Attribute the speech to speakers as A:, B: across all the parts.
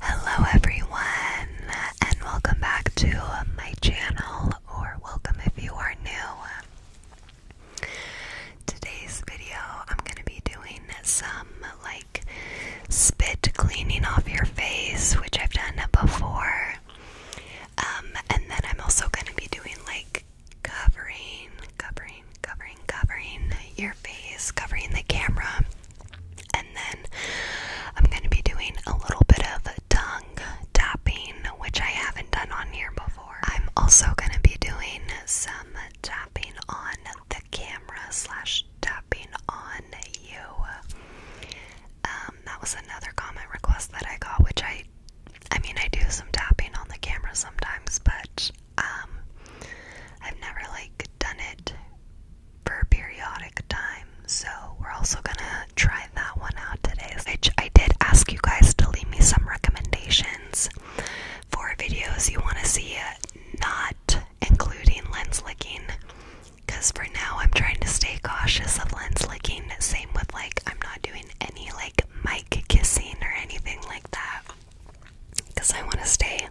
A: Hello, everyone, and welcome back to my channel, or welcome if you are new. Today's video, I'm going to be doing some like spit cleaning off your face, which I've done before. Um, and then I'm also going to be doing like covering, covering, covering, covering your face, covering the camera. And then I'm going to be doing a little bit of tongue tapping, which I haven't done on here before. I'm also going to be doing some tapping on the camera slash tapping on you. Um, that was another comment request that I got, which I I mean, I do some tapping on the camera sometimes, but um, I've never like done it for periodic time. So we're also gonna try that one out today. Which I did ask you guys to leave me some recommendations for videos you want to see, uh, not including lens licking. Because for now, I'm trying to stay cautious of lens licking. Same with like, I'm not doing any like mic kissing or anything like that because I want to stay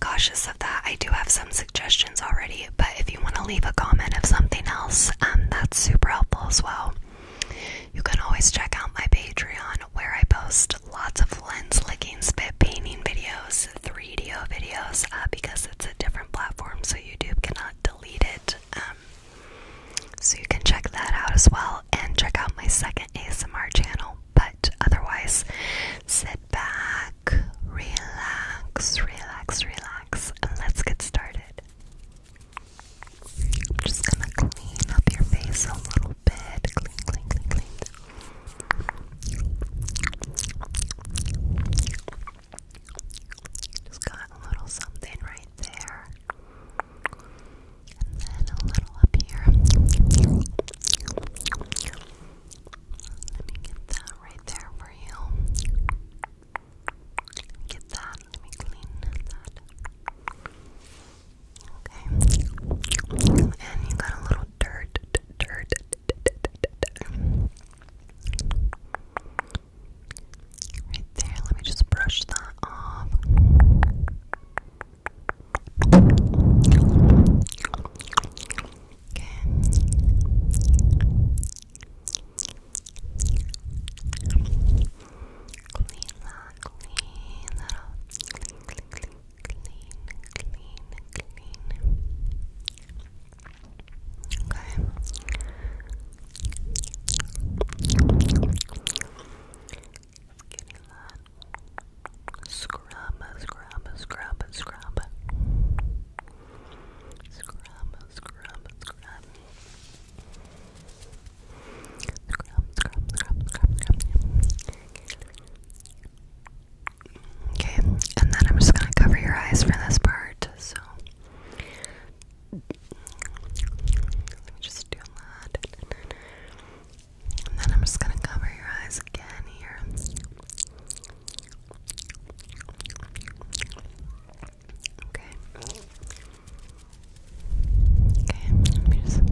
A: cautious of that. I do have some suggestions already, but if you want to leave a comment of something else, um, that's super helpful as well. You can always check out my Patreon where I post lots of lens licking, spit painting videos, 3 d videos, uh, because it's a different platform, so YouTube cannot delete it. Um, so you can check that out as well and check out my second ASMR channel. But otherwise, sit back, relax, relax, relax, and let's get started. I'm just gonna clean up your face a little bit. Just got a little something right there. And then a little up here. Let me get that right there for you. get that. Let me clean that. Okay. And you got a little dirt, dirt, dirt. Right there, let me just brush that off. Okay. Clean clean that clean, clean, clean, clean, clean. Okay. Scrub, scrub, scrub, scrub. Scrub, scrub, scrub. Scrub, scrub, scrub, scrub, scrub. Okay, and then I'm just gonna cover your eyes for this part. So let me just do that. And then I'm just gonna cover your eyes
B: again here. Okay. Okay, just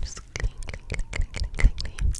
B: just clean, clean, clean, clean, clean,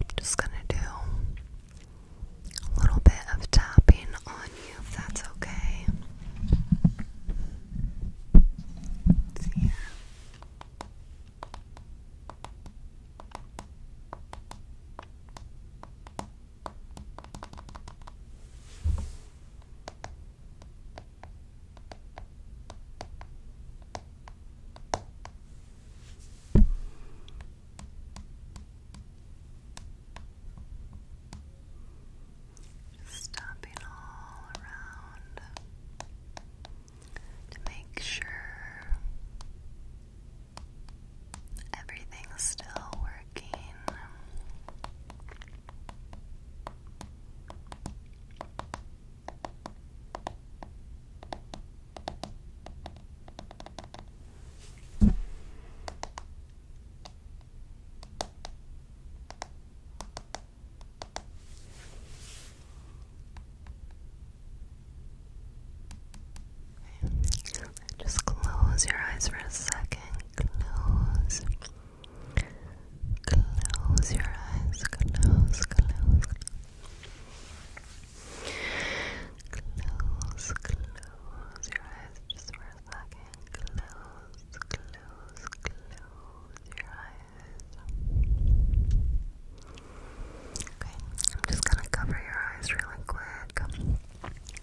B: I'm just gonna do a little bit of tapping on you if that's okay. let
A: Stopping all around to make sure everything's still working. Just close your eyes for a second. Close. Close your eyes. Close, close, close. Close, close your eyes just for a second. Close, close, close your eyes. Okay, I'm just gonna cover your eyes really quick.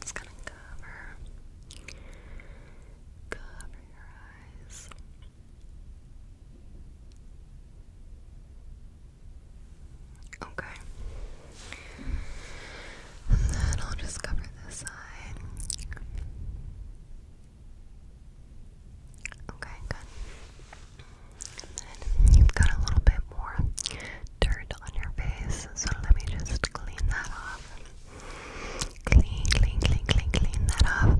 A: Just gonna cover, cover your eyes. Okay. And then I'll just cover this side. Okay, good. And then you've got a little bit more dirt on your face, so let me just clean that off. Clean, clean, clean, clean, clean that off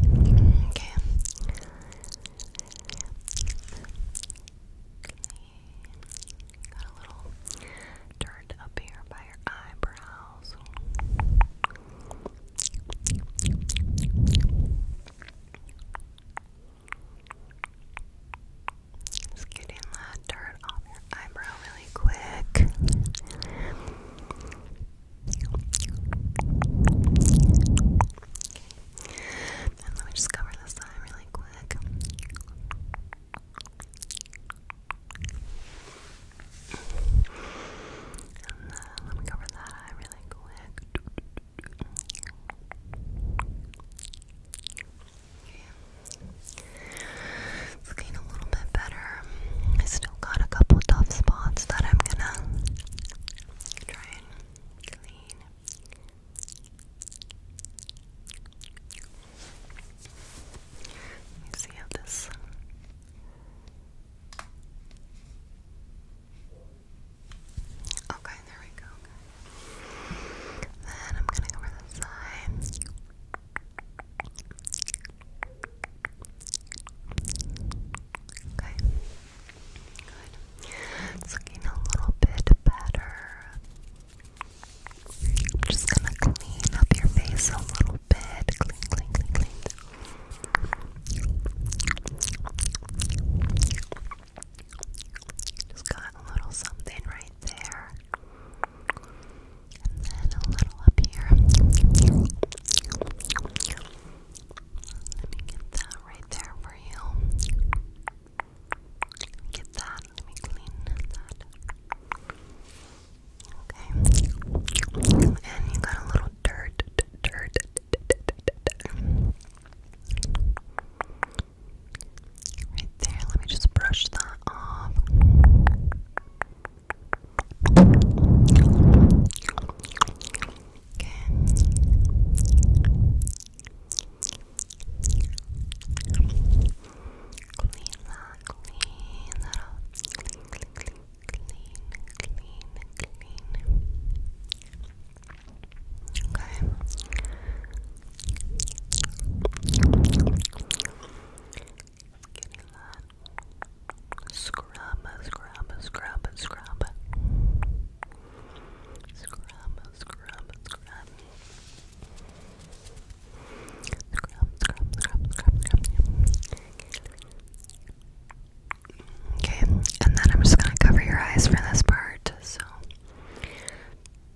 A: Okay. Got a little dirt up here by your eyebrows. Just getting that dirt off your eyebrow really quick. And let me just cover this eye really quick. And uh, let me cover that eye really quick. It's getting a little bit better. I still got a couple tough spots that I'm gonna try and clean. Let me see how this. Okay, there we go. Then I'm gonna go over the side. Okay. Good. It's looking a little bit better. I'm just gonna clean up your face a little bit. Clean, clean, clean, clean. Just got a little something right there. And then a little up here. Let me
B: get that right there for you. get that. Let me clean that. Okay. And you got a little dirt, dirt. Right there, let me just brush that off. Okay. Clean clean that clean, clean, clean, clean, clean. Okay. Getting that scrub, scrub, scrub, scrub, scrub, scrub, scrub. Scrub, scrub, scrub, scrub, scrub. Okay, and then I'm just gonna cover your eyes for this part. So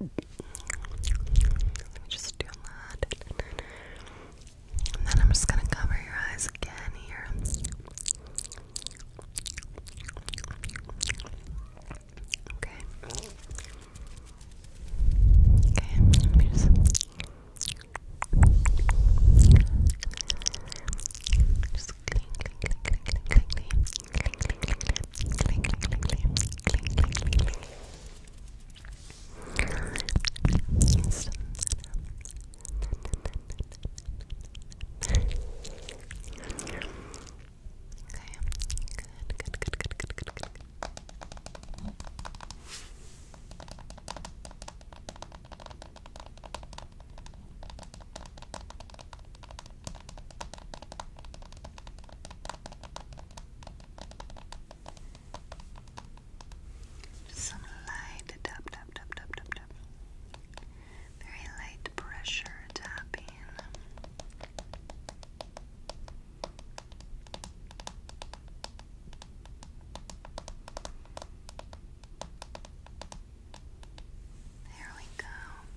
B: let me just do that. And then I'm just gonna cover your eyes again here. Okay. Okay, let me just just clean, clean, clean, clean, clean, clean, good, good, good, good, good, good. Okay. Some light tap, tap, tap, tap, tap, tap. Very light pressure tapping. There we go.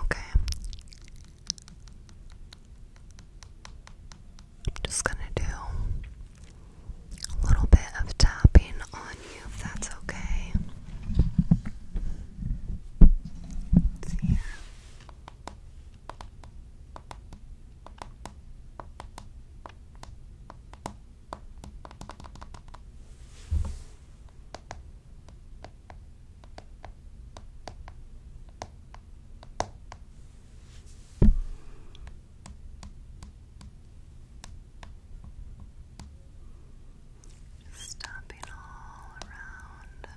B: Okay. I'm just going to do a little bit of tapping on if that's okay. let Okay.
A: Stopping all around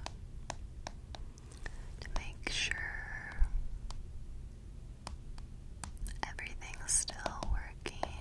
A: to make sure everything's still working.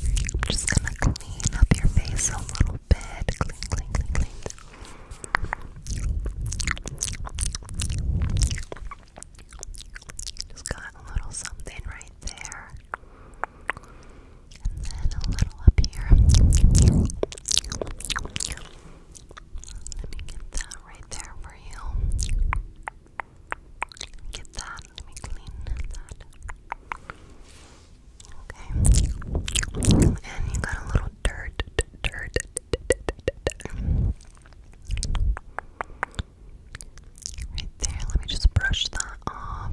A: I'm just gonna clean up your face a little bit. Clean, clean, clean, clean. Just got a little something right there and then a little up here. Let me get that right there for you. Get that. Let me clean that. Okay. And you got a little dirt, dirt, Right there, let me just brush that off.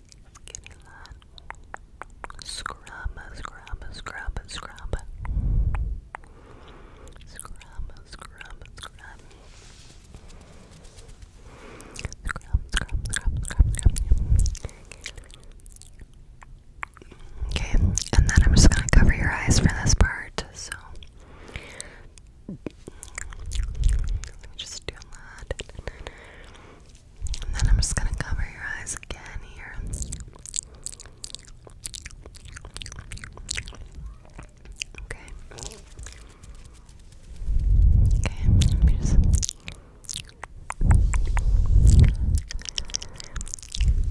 A: Skinny line. Scrumba, scrumba, scrumba, scrumba. Scrumba, scrumba, scrumba. Scrum, scrum, scrum, scrum, scrum. Okay, and then I'm just gonna cover your eyes for this part. So let me just do that. And then I'm just gonna cover your eyes again here. Okay. Okay, let me just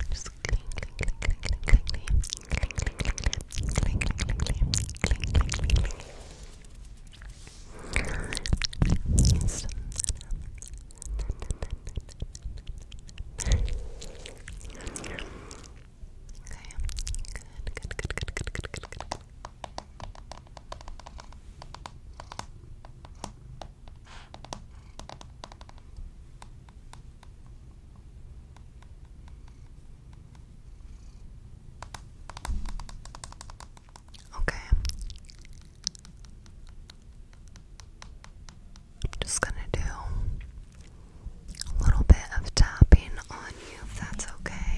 A: just clean, clean, clean, clean, clean, clean, clean, clean, clean, clean, clean, clean, clean, clean, clean, clean, clean, good, good, good, good, good, good, good. Okay. Okay. I'm just going to do a little bit of tapping on you if that's okay.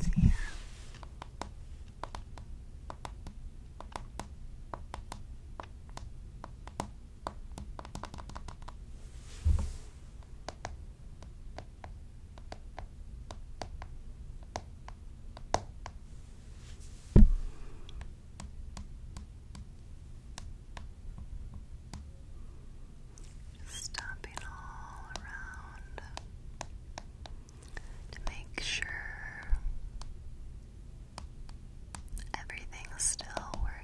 A: see Okay. Stopping all around to make sure everything still works.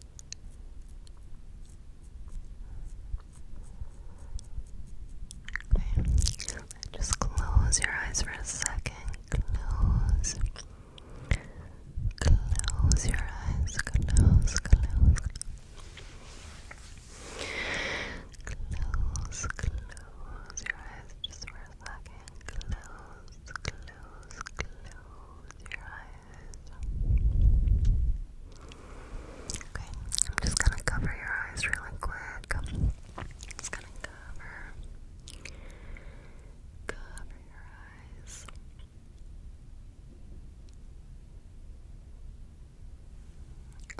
A: Okay. Just close your eyes for a second. Close. Close your eyes. Close, close, close. Close, close your eyes just for a second. Close, close, close your eyes. Okay, I'm just gonna cover your eyes really quick. Just gonna cover, cover your eyes.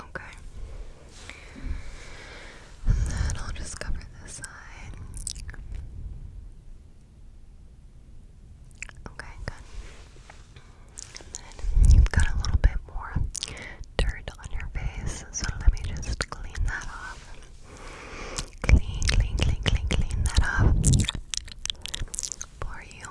A: Okay. And then I'll just cover this side. Okay, good. you've got a little bit more dirt on your face, so let me just clean that off. Clean, clean, clean, clean, clean that off for you.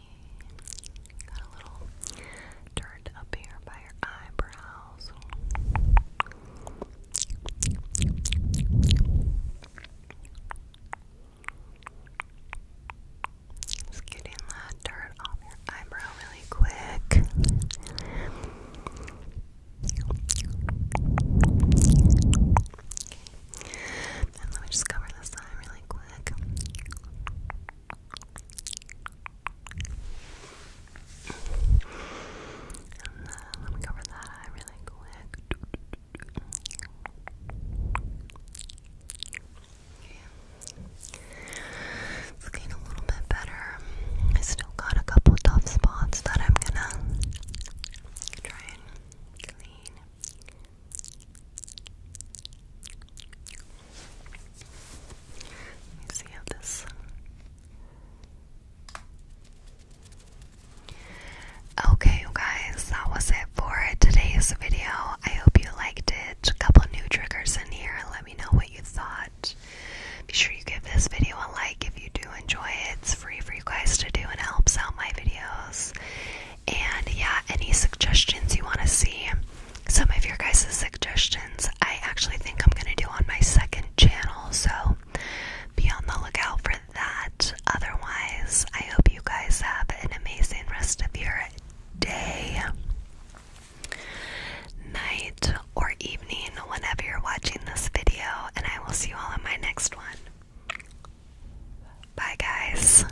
A: Got a little dirt up here by your eyebrows. Just getting that dirt off your eyebrow really quick. And let me just cover this eye really quick let me cover that really quick. Okay. It's getting a little bit better. I still got a couple tough spots that I'm gonna try and clean see how this. Okay, guys, that was it for today's video. I hope you liked it. A couple new triggers in here. Let me know what you thought. Be sure you give this video a like if you do enjoy it. It's free for you guys to do and helps out my videos. And yeah, any suggestions you want to see, some of your guys' suggestions, I actually think I'm going to do on my second channel. So be on the lookout for that. Otherwise, I hope you guys have an amazing rest of your day, night, or evening whenever you're watching this video. And I will see you all in my next one. Bye, guys.